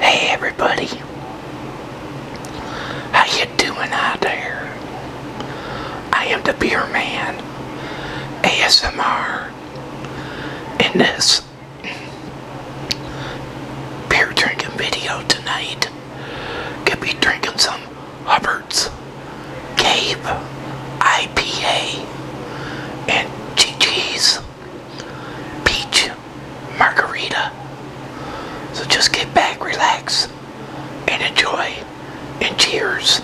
Hey everybody, how you doing out there? I am the Beer Man, ASMR, in this beer drinking video tonight, could be drinking some Hubbard's Cave IPA and GG's peach margarita. So just get back, relax, and enjoy, and cheers.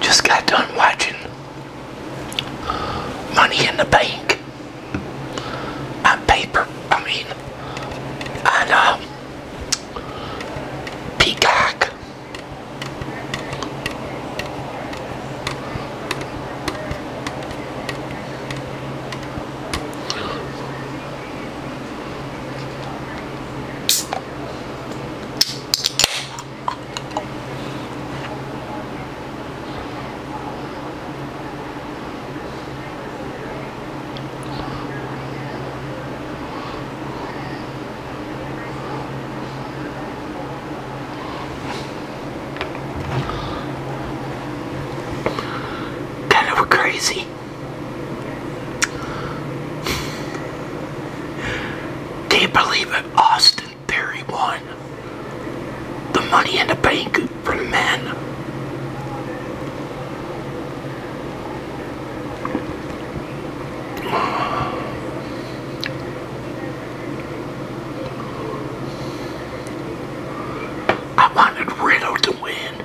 Just got done watching Money in the Bank on paper, I mean, on um, Peacock. Kind of crazy. Can't believe it. Austin Perry won. The money in the bank for the men. I wanted Riddle to win.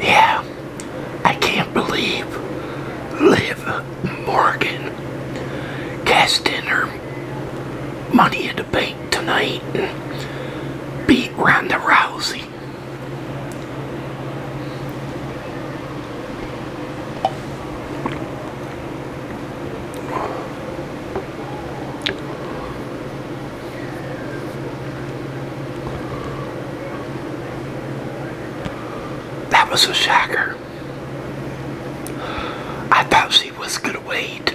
Yeah, I can't believe Liv Morgan cast her Money at the Bank tonight beat Randy Rousey. That was a shocker. I thought she was going to wait.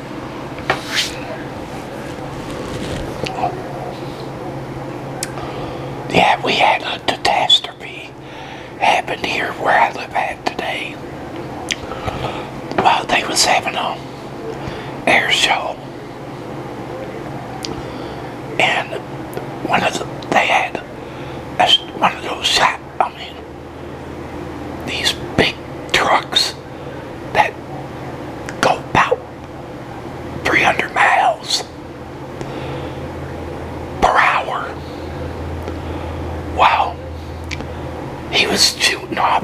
Yeah, we had a catastrophe happened here where I live at today. while they was having a air show. And one of the, they had as one of those shot, I mean, these big trucks that go about 300 miles per hour. Wow. He was shooting off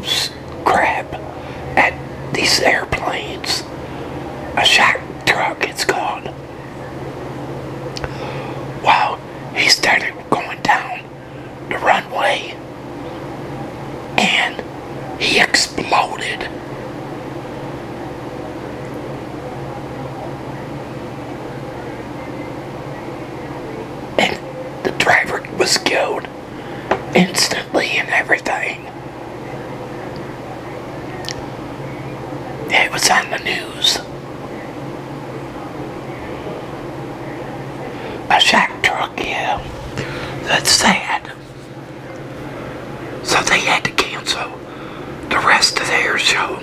crap at these airplanes. A shock truck, it's called. Wow, he started going down the runway and he exploded. And the driver was killed instantly and everything. It was on the news a shack truck, yeah. That's sad. So they had to cancel the rest of their show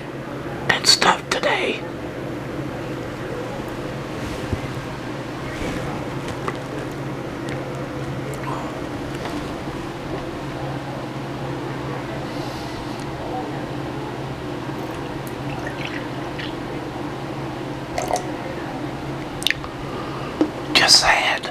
and stuff today. Just sad.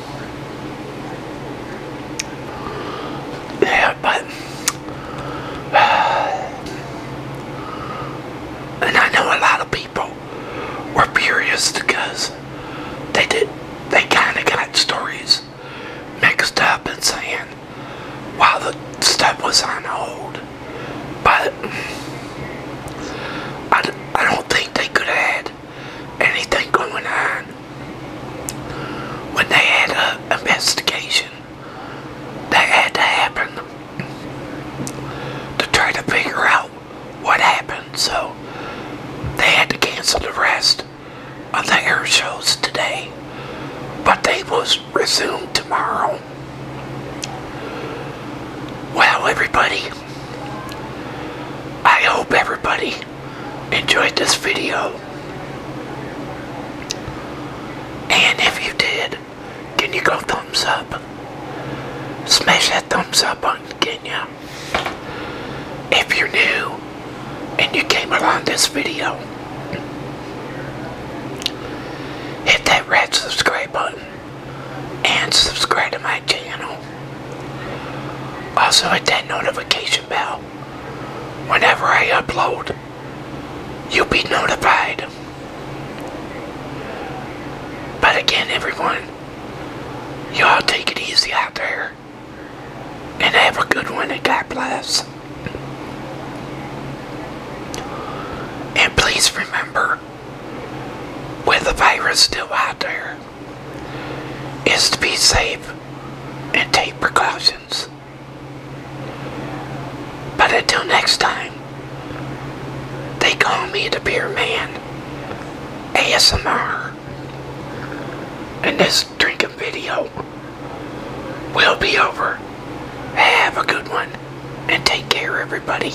Yeah, but and I know a lot of people were curious because they did they kind of got stories mixed up and saying while the step was on hold, but I, I don't think they could add anything going on when they had an investigation that had to happen to try to figure out what happened. So they had to cancel the rest of the air shows today, but they will resume tomorrow. Well, everybody, I hope everybody enjoyed this video. And if you did, can you go thumbs up? Smash that thumbs up button, can you? If you're new and you came along this video, hit that red subscribe button and subscribe to my channel. Also hit that notification bell. Whenever I upload, you'll be notified. But again, everyone, y'all take it easy out there. And have a good one and God bless. And please remember, with the virus still out there, is to be safe and take precautions. But until next time, they call me the Beer Man ASMR. And this drinking video will be over. Have a good one and take care, everybody.